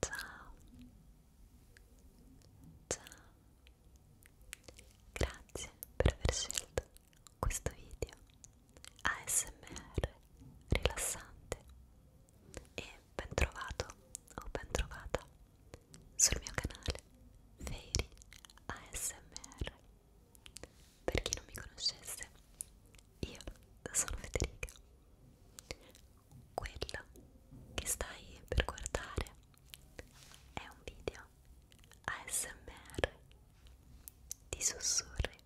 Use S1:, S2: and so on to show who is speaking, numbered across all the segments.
S1: Ciao, ciao, grazie per aver scelto questo video ASMR rilassante e ben trovato o ben trovata sul mio canale Fairy ASMR. Per chi non mi conoscesse, io sono Federica quello che stai per guardare è un video ASMR di sussurri.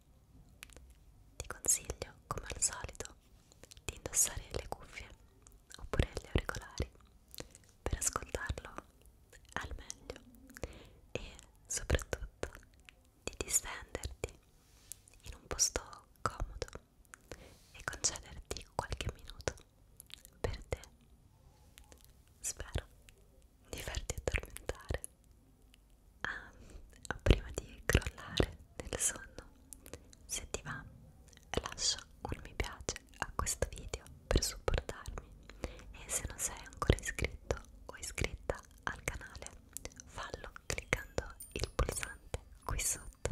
S1: Ti consiglio, come al solito, di indossare le cuffie oppure gli auricolari per ascoltarlo al meglio e soprattutto di distenderti in un posto comodo e concederti qualche minuto per te. Spero di farti addormentare ah, prima di crollare nel sonno. Se ti va, lascia un mi piace a questo video per supportarmi e se non sei ancora iscritto o iscritta al canale fallo cliccando il pulsante qui sotto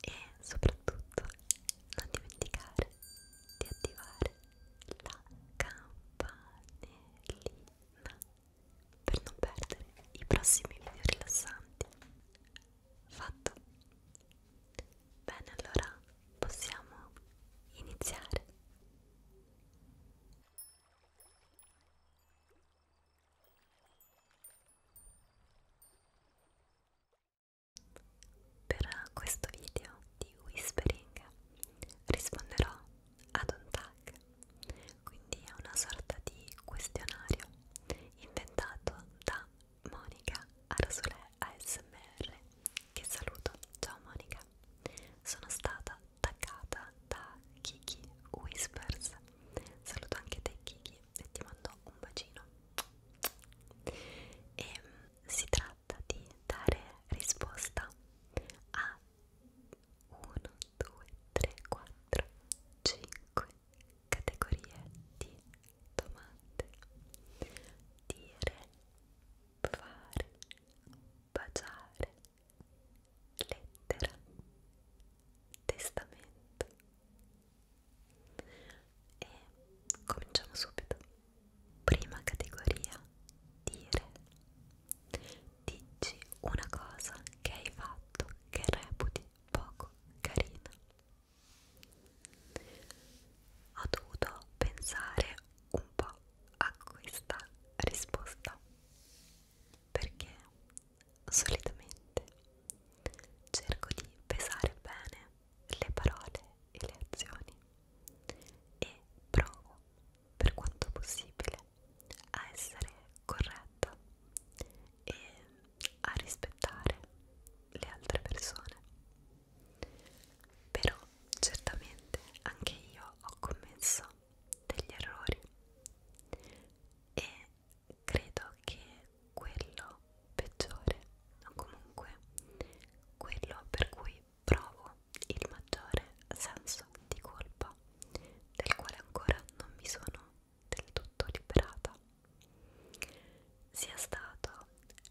S1: e soprattutto non dimenticare di attivare la campanellina per non perdere i prossimi video rilassanti fatto bene allora possiamo iniziare per questo video di whispering risponderò ad un tag, quindi è una sorta di questionario inventato da Monica Arsulè ASMR che saluto. Ciao Monica, sono stata taggata da Kiki Whispers saluto anche te Kiki e ti mando un bacino e ehm, si tratta di dare risposta a 1, 2, 3, 4, 5 categorie di domande dire, fare, baciare lettera, testamento e cominciamo subito. Prima categoria, dire. Dici una cosa che hai fatto che reputi poco carina. Ho dovuto pensare un po' a questa risposta perché solitamente cerco di pesare bene le parole e le azioni e provo per quanto possibile a essere corretta e a rispettare le altre persone però certamente anche io ho commesso degli errori e credo che quello peggiore o comunque quello per cui provo il maggiore senso di colpa del quale ancora non mi sono del tutto liberata sia stato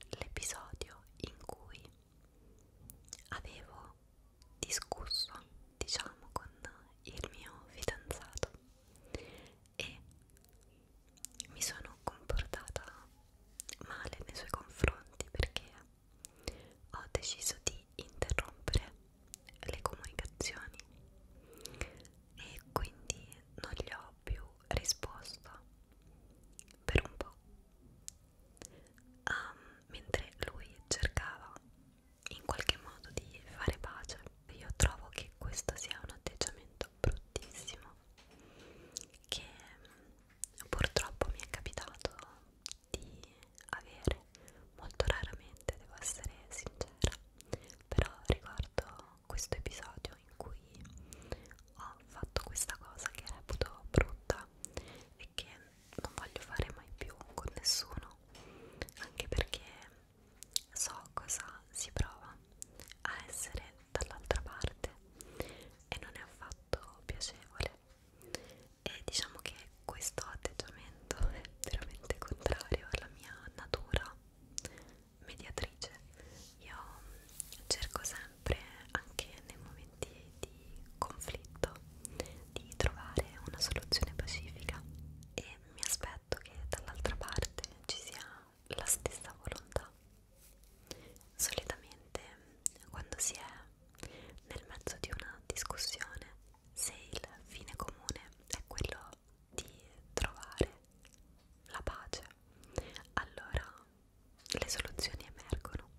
S1: l'episodio in cui avevo discusso diciamo con il mio fidanzato e mi sono comportata male nei suoi confronti perché ho deciso di interrompere le comunicazioni e quindi non gli ho più risposto per un po' um, mentre lui cercava in qualche modo di fare pace io trovo che questo sia un atteggiamento bruttissimo che mm, purtroppo mi è capitato di avere molto raramente devo essere sincera però riguardo questo episodio in cui ho fatto questa cosa che reputo brutta e che non voglio fare mai più con nessuno anche perché so cosa si prova a essere dall'altra parte e non è affatto piacevole e diciamo che questo atteggiamento è veramente contrario alla mia natura mediatrice io cerco sempre anche nei momenti di conflitto di trovare una soluzione pacifica e e mi aspetto che dall'altra parte ci sia la stessa volontà. Solitamente quando si è nel mezzo di una discussione, se il fine comune è quello di trovare la pace, allora le soluzioni emergono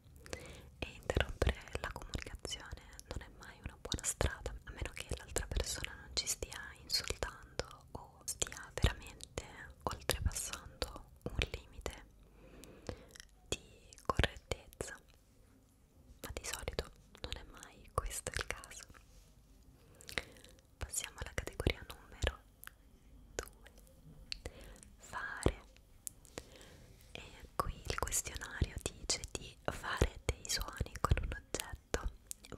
S1: e interrompere la comunicazione non è mai una buona strada a meno che l'altra persona non ci stia insultando o stia veramente oltrepassando un limite di correttezza ma di solito non è mai questo il caso passiamo alla categoria numero 2 fare e qui il questionario dice di fare dei suoni con un oggetto detto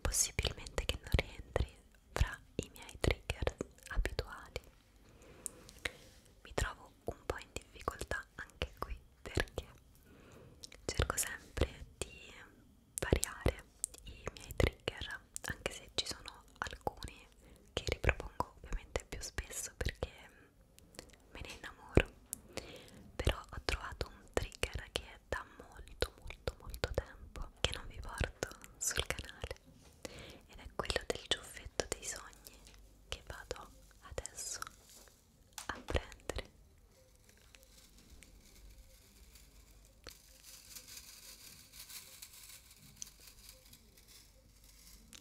S1: possibilmente che non rientri fra i miei trigger abituali mi trovo un po' in difficoltà anche qui perché cerco sempre di variare i miei trigger anche se ci sono alcuni che ripropongo ovviamente più spesso perché me ne innamoro però ho trovato un trigger che è da molto molto molto tempo che non vi porto sul canale ed è quello del ciuffetto dei sogni che vado adesso a prendere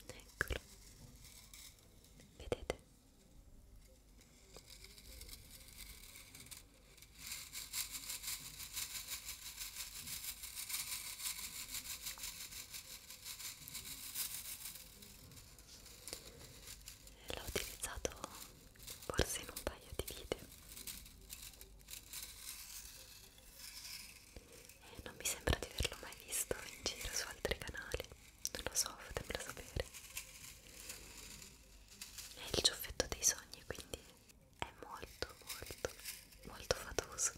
S1: eccolo vedete L'ho utilizzato forse in un paio di video e non mi sembra di averlo mai visto in giro su altri canali, non lo so, fatemelo sapere. È il ciuffetto dei sogni, quindi è molto, molto, molto fatoso.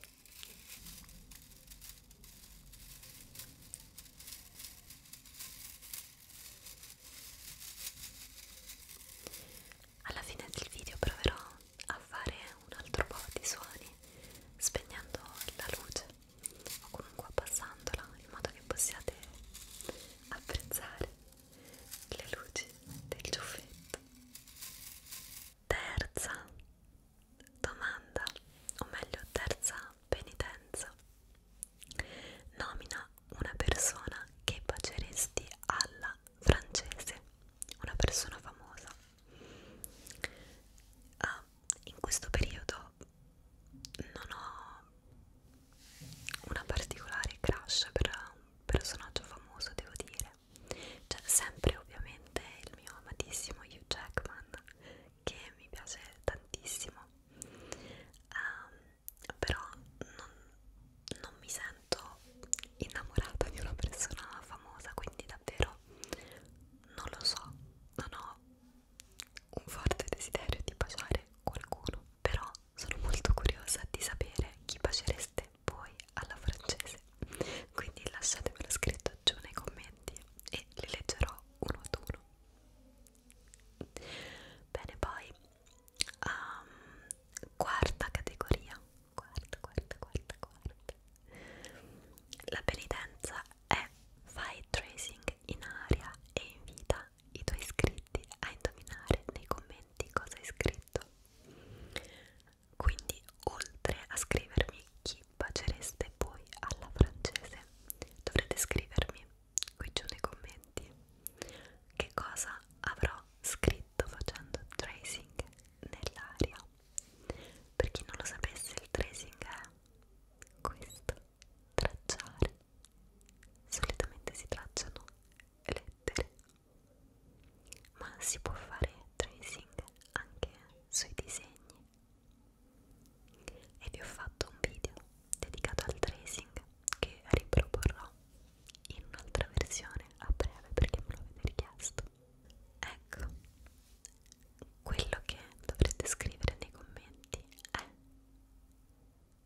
S1: Alla fine del video proverò a fare un altro po' di suoni spegnendo la luce o comunque abbassandola in modo che possiate apprezzare le luci del ciuffetto. Terza domanda, o meglio terza penitenza. Nomina una persona che baceresti alla francese, una persona famosa. Ah, in questo periodo non ho una particolare crush per un personaggio famoso devo dire cioè sempre ovviamente il mio amatissimo Hugh Jackman che mi piace tantissimo um, però non, non mi sento innamorata di una persona famosa quindi davvero non lo so non ho un forte desiderio di baciare qualcuno però sono molto curiosa di sapere chi bacereste voi alla francese quindi lasciatemelo scritto giù nei commenti e li leggerò uno ad uno bene poi um, quarta categoria quarta quarta quarta quarta la penitenza è file tracing in aria e in vita i tuoi iscritti a indovinare nei commenti cosa hai scritto. Quindi, oltre a scrivermi chi bacereste voi alla francese, dovrete scrivermi qui giù nei commenti che cosa avrò scritto facendo tracing nell'aria. Per chi non lo sapesse, il tracing è questo, tracciare. Solitamente si tracciano lettere ma si può fare tracing anche sui disegni e vi ho fatto un video dedicato al tracing che riproporrò in un'altra versione a breve perché me lo avete richiesto ecco quello che dovrete scrivere nei commenti è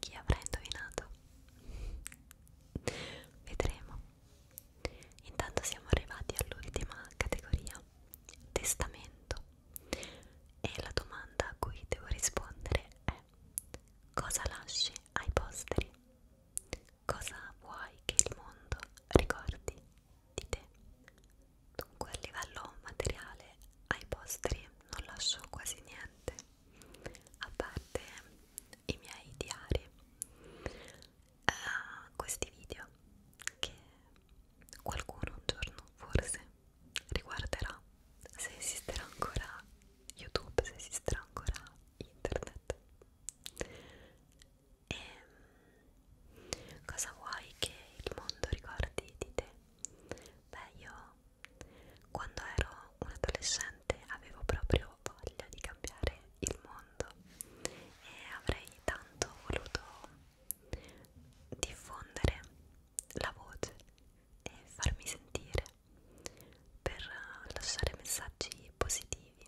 S1: Chi avrà indovinato? Vedremo. Intanto siamo arrivati all'ultima categoria, testamento. E la domanda a cui devo rispondere è cosa lasci ai posteri? Cosa vuoi che il mondo ricordi di te? Dunque a livello materiale ai postri non lascio quasi niente, a parte i miei diari, uh, questi video che qualcuno un giorno forse riguarderà se esisterà ancora YouTube, se esisterà ancora internet. E ehm, cosa vuoi che il mondo ricordi di te? Beh, io quando ero un adolescente avevo proprio voglia di cambiare il mondo e avrei tanto voluto diffondere la voce e farmi sentire per lasciare messaggi positivi.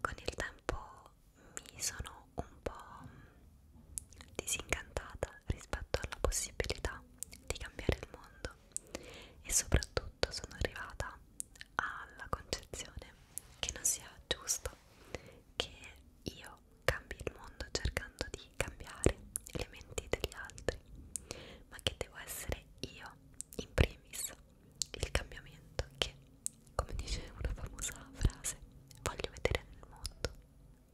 S1: Con il tempo mi sono un po' disincantata rispetto alla possibilità di cambiare il mondo e soprattutto sono arrivata alla concezione che non sia giusto che io cambi il mondo cercando di cambiare le menti degli altri, ma che devo essere io in primis il cambiamento che, come dice una famosa frase, voglio vedere nel mondo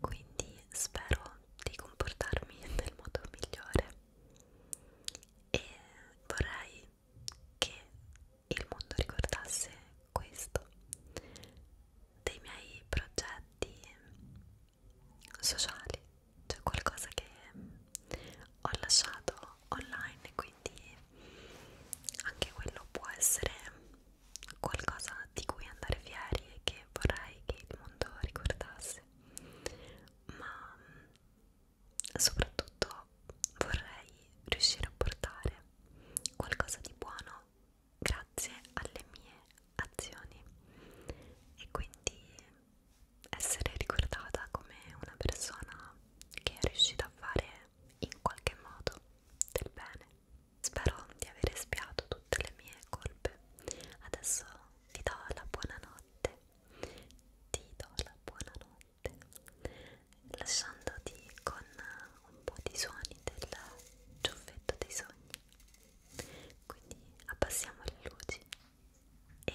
S1: quindi spero di comportarmi nel modo migliore e vorrei che il mondo ricordasse questo dei miei progetti sociali cioè qualcosa che ho lasciato online quindi anche quello può essere qualcosa di cui andare fieri e che vorrei che il mondo ricordasse, ma mm, soprattutto vorrei riuscire a portare qualcosa di buono grazie alle mie azioni e quindi essere ricordata come una persona che è riuscita a fare in qualche modo del bene Spero di aver espiato tutte le mie colpe. Adesso ti do la buonanotte. Ti do la buonanotte. Lasciandoti con un po' di suoni del gioffetto dei sogni. Quindi abbassiamo le luci e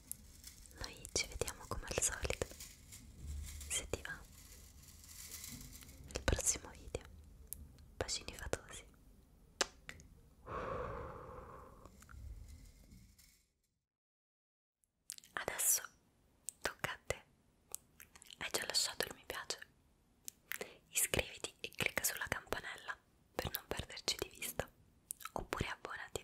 S1: Noi ci vediamo come al solito, se ti va, nel prossimo video. Bacini fatosi. Adesso tocca a te. Hai già lasciato il mi piace? Iscriviti e clicca sulla campanella per non perderci di vista. Oppure abbonati